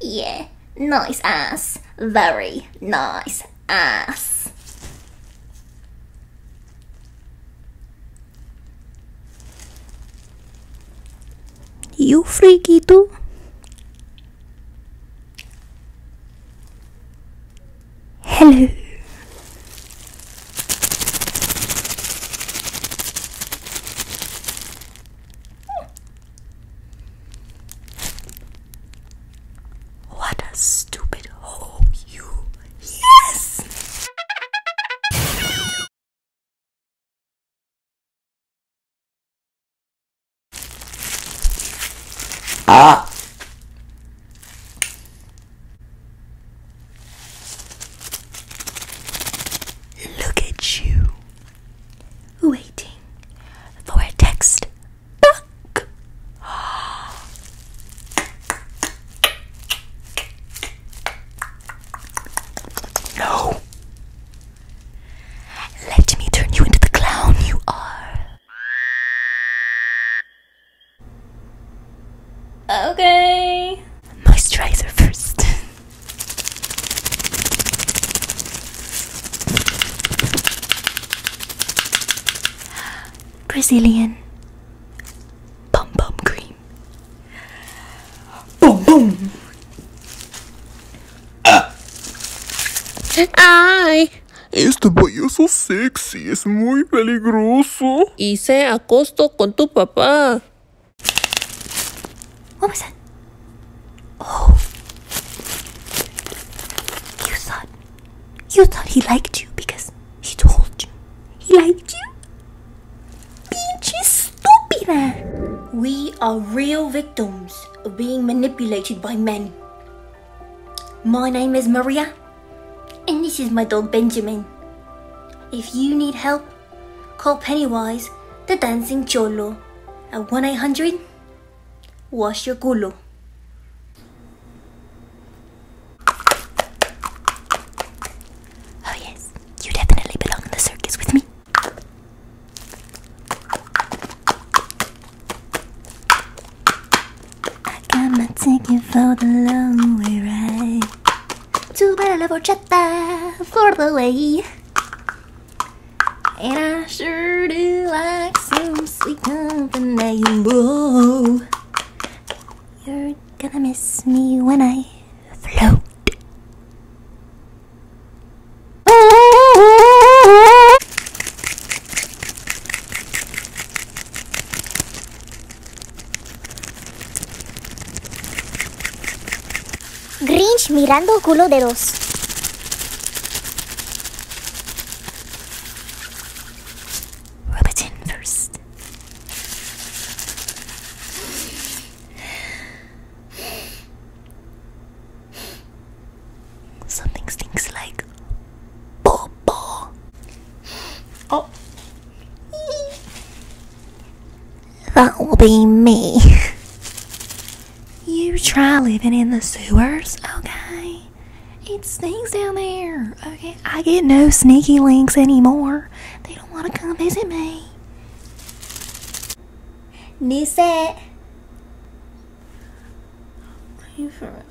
yeah, nice ass. Very nice ass. You freaky too? Hello. What a stupid hole you. Yes! Ah! Look at you waiting for a text back. No. Let me turn you into the clown you are. Okay. Moisturizer first. Brazilian Pum Pum Cream. Pum Pum ah. Ay. Este payaso sexy es muy peligroso. Hice se acostó con tu papá. What was that? Oh. You thought. You thought he liked you because he told you. He liked you? Pinche stupida! We are real victims of being manipulated by men. My name is Maria, and this is my dog Benjamin. If you need help, Call Pennywise the Dancing Cholo at 1 800 Wash Your Culo. Oh, yes, you definitely belong in the circus with me. I got my ticket for the long way ride. Too bad I love horchata for the way. And I sure do like some sweet company. Whoa. You're gonna miss me when I float. Grinch mirando culo de dos. Rub it in first. Something stinks like popo. Oh. That will be me. You try living in the sewers, okay? It stinks down there, okay? I get no sneaky links anymore. They don't want to come visit me. New set. you for real?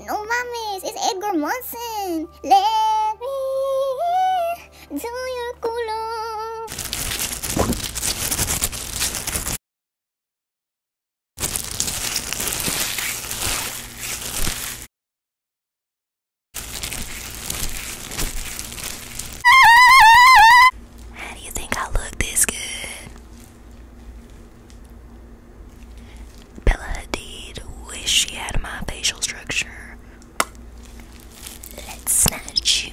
No mames, it's Edgar Monson. Let me do your culo. How do you think I look this good? Bella Hadid, wish she had my facial structure. Let's snatch you.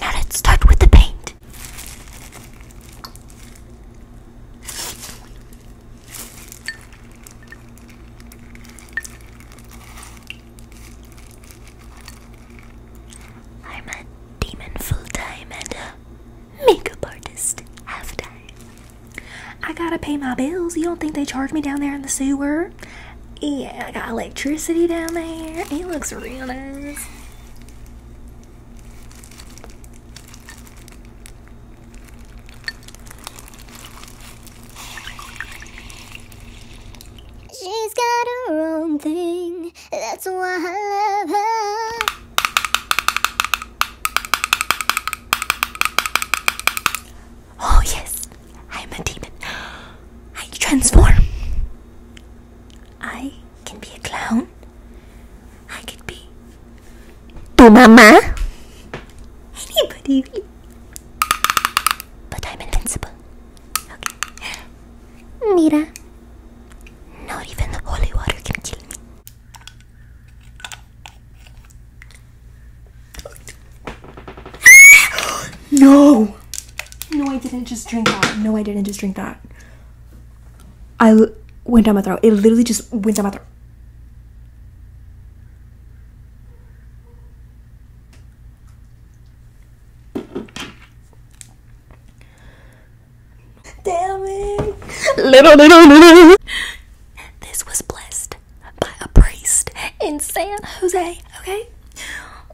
Now let's start with the paint. I'm a demon full time and a makeup artist half time. I gotta pay my bills. You don't think they charge me down there in the sewer? Yeah, I got electricity down there. It looks real nice. She's got her own thing. That's why I love her. Oh, yes, I'm a demon. I transform. I can be a clown. I could be tu mama. Anybody. But I'm invincible. Okay. Mira. Not even the holy water can kill me. no! No, I didn't just drink that. No, I didn't just drink that. I went down my throat. It literally just went down my throat. Damn it! Little, little, little. This was blessed by a priest in San Jose, okay?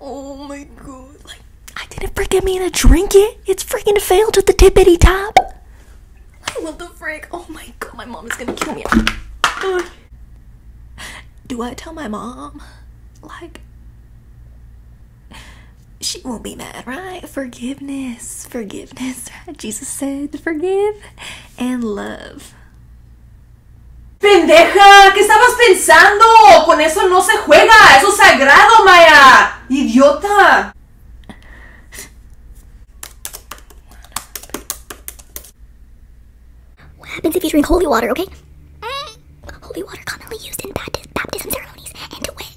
Oh my god. Like, I didn't freaking mean to drink it. It's freaking failed at the tippity top. I love the Oh my god, my mom is gonna kill me. Do I tell my mom? Like, she won't be mad, right? Forgiveness, forgiveness. Jesus said, forgive and love. ¡Pendeja! ¿Qué estabas pensando? Con eso no se juega. Eso es sagrado, Maya. Idiota. What happens if you drink holy water, okay? Holy water commonly used in baptism ceremonies and to wit,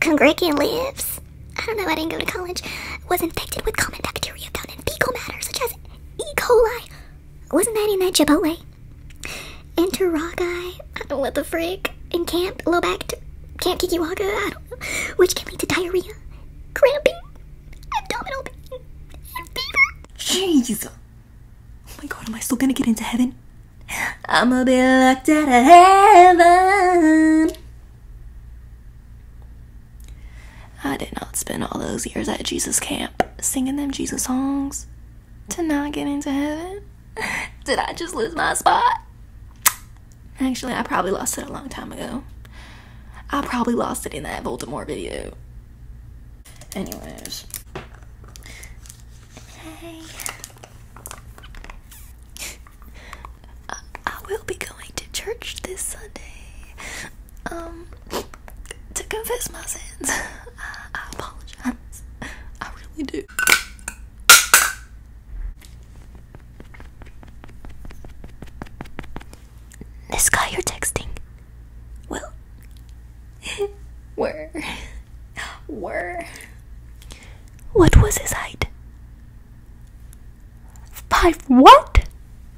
congregan leaves. I don't know, I didn't go to college. Was infected with common bacteria found in fecal matter such as E. coli. Wasn't that in that Chipotle? And Taragai, I don't know what the frick, In Camp Lobact, Camp Kikiwaga, I do which can lead to diarrhea, cramping, abdominal pain, and fever. Jesus! Oh my god, am I still gonna get into heaven? I'ma be locked out of heaven. I did not spend all those years at Jesus camp singing them Jesus songs to not get into heaven. did I just lose my spot? Actually, I probably lost it a long time ago. I probably lost it in that Baltimore video. Anyways. Hey. I will be going to church this Sunday um to confess my sins. I, apologize. I really do. This guy you're texting. Well, where, were. What was his height? Five what?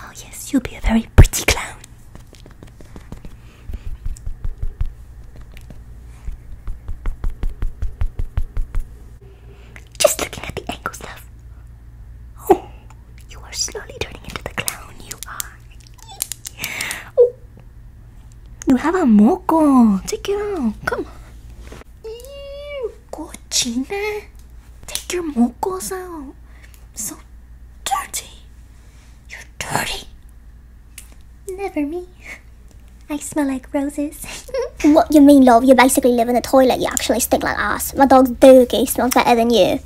Oh, yes, you'll be a very pretty clown. Just looking at the ankles, love. Oh, you are slowly turning into the clown you are. oh, you have a moco. Take it out. Come on cochina. Take your mocos out. So dirty. You're dirty. Never me. I smell like roses. what you mean, love? You basically live in the toilet. You actually stink like ass. My dog's doogie smells better than you.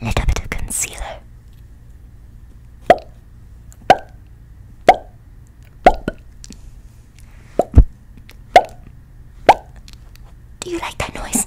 Little bit of concealer. Do you like that noise?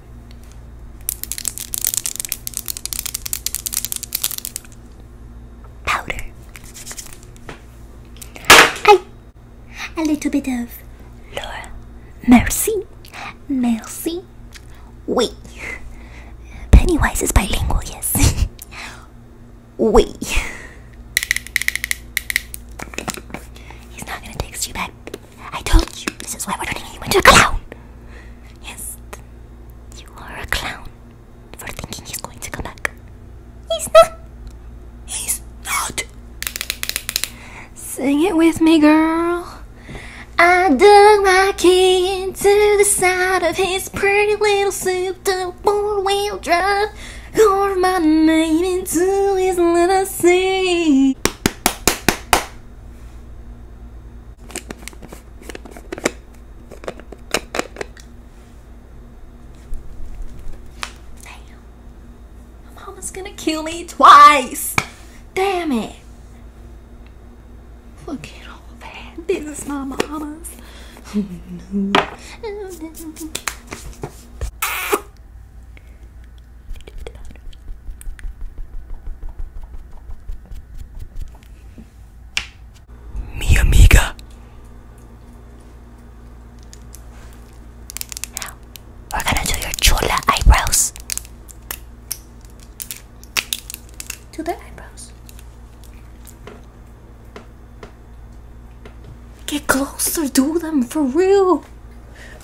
Powder. Hi. A little bit of Laura. Mercy, Merci. Wait. Pennywise is bilingual, yes. Wait. He's not gonna text you back. I told you this is why we're turning you into a clown. Yes, you are a clown for thinking he's going to come back. He's not. He's not. Sing it with me, girl. I dug my key into the side of his pretty little souped up four wheel drive. Carved my name into his little seat. Damn. My mama's gonna kill me twice. Damn it. Look at all that. This is my mama's. Mi amiga. we're gonna do your chola eyebrows. Do the eyebrows. Get closer, do them for real.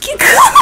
Get close.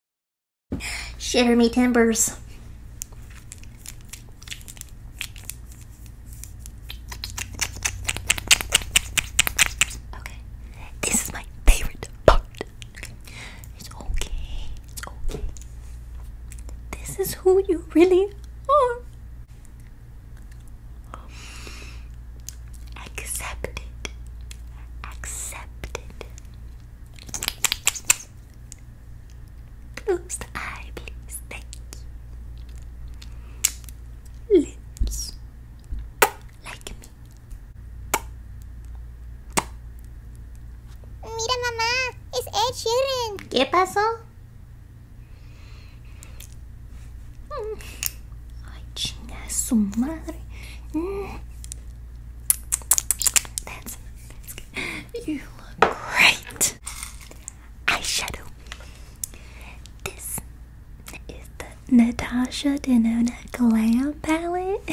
Shiver me timbers. Okay. This is my favorite part. It's okay. It's okay. This is who you really are. Accept it. Accept it. Closed eye, please. Thank you. Lips. Like me. Mira, mamá. Es Ed Sheeran. ¿Qué pasó? Ay, chinga, su madre. Mm. That's You look great. Eyeshadow. This is the Natasha Denona Glam palette.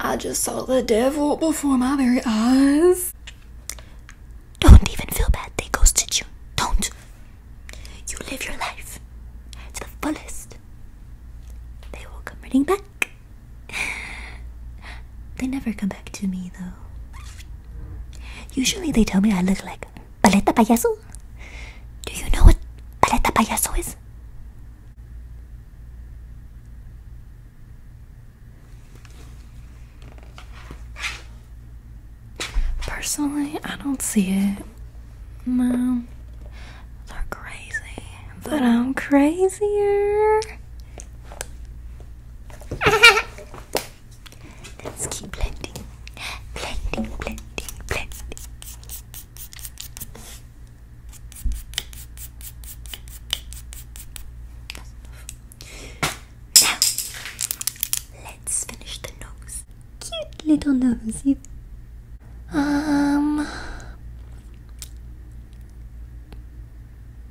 I just saw the devil before my very eyes. Don't even feel bad they ghosted you. Don't. You live your life to the fullest. They will come running back. They never come back to me though. Usually they tell me I look like Paleta Payaso. Do you know what Paleta Payaso is? Personally, I don't see it. No. They're crazy. But I'm crazier. Let's keep blending. Blending, blending, blending. Now, let's finish the nose. Cute little nosey. Um,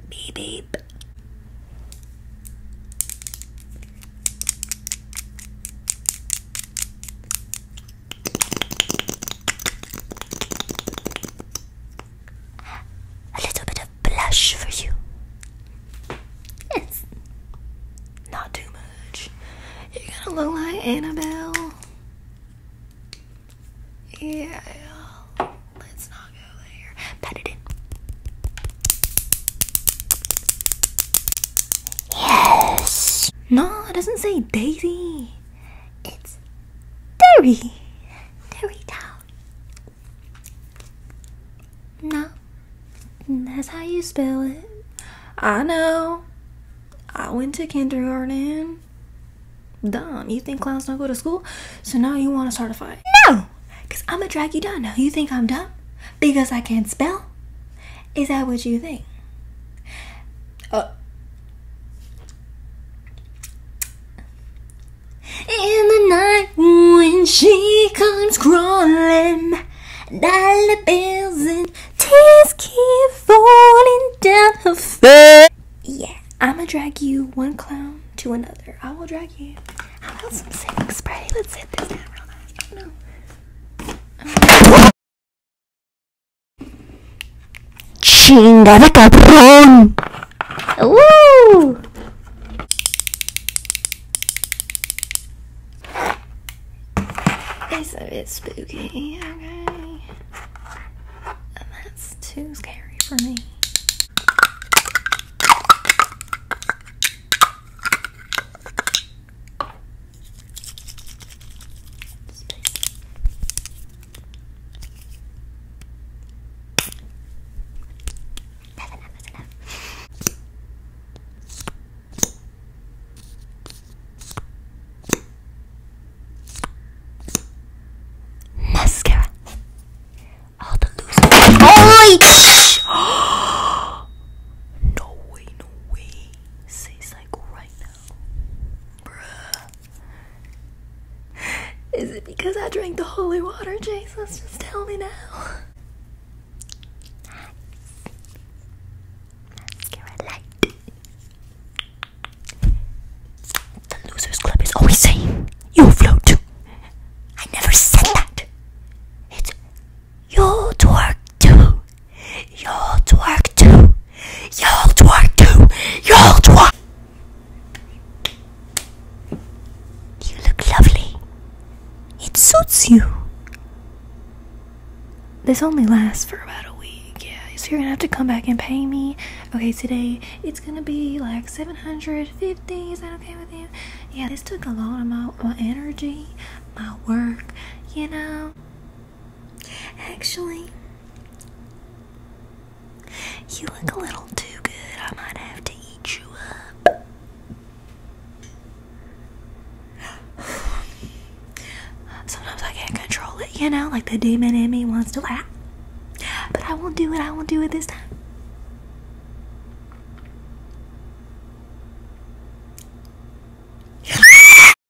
beep beep. A little bit of blush for you. Yes. Not too much. You're gonna look like Annabelle. Yeah. Let's not go there. Pat it in. Yes. No, it doesn't say Daisy. It's Derry. Derry Town. No. That's how you spell it. I know. I went to kindergarten. Dumb. You think clowns don't go to school? So now you want to start a fight? No! Because I'm going to drag you down. Now you think I'm dumb? Because I can't spell? Is that what you think? Uh, in the night when she comes crawling, dollar bills and tears keep falling down her face. Yeah, I'ma drag you one clown to another. I will drag you. How about some setting spray? Let's hit this down real fast. no. ¡Chingada cabrón! ¡Uh! It's a bit spooky, okay? that's too scary for me. Space. Mascara. All the loose. Oh, no way, no way. Says like right Bruh. Is it because I drank the holy water, Jesus? Just tell me now. Mascara The Losers Club is always saying, You float. I never said that. It's your twerk too. Y'all twerk too. Y'all twerk too. Y'all twerk. You look lovely. It suits you. This only lasts for about a week, yeah. So you're gonna have to come back and pay me. Okay, today it's gonna be like 750. Is that okay with you? Yeah, this took a lot of my, my energy, my work, you know. Actually, you look a little too good. I might have to eat you up. Sometimes I can't control it, you know, like the demon in me wants to. Ah. But I won't do it. I won't do it this time.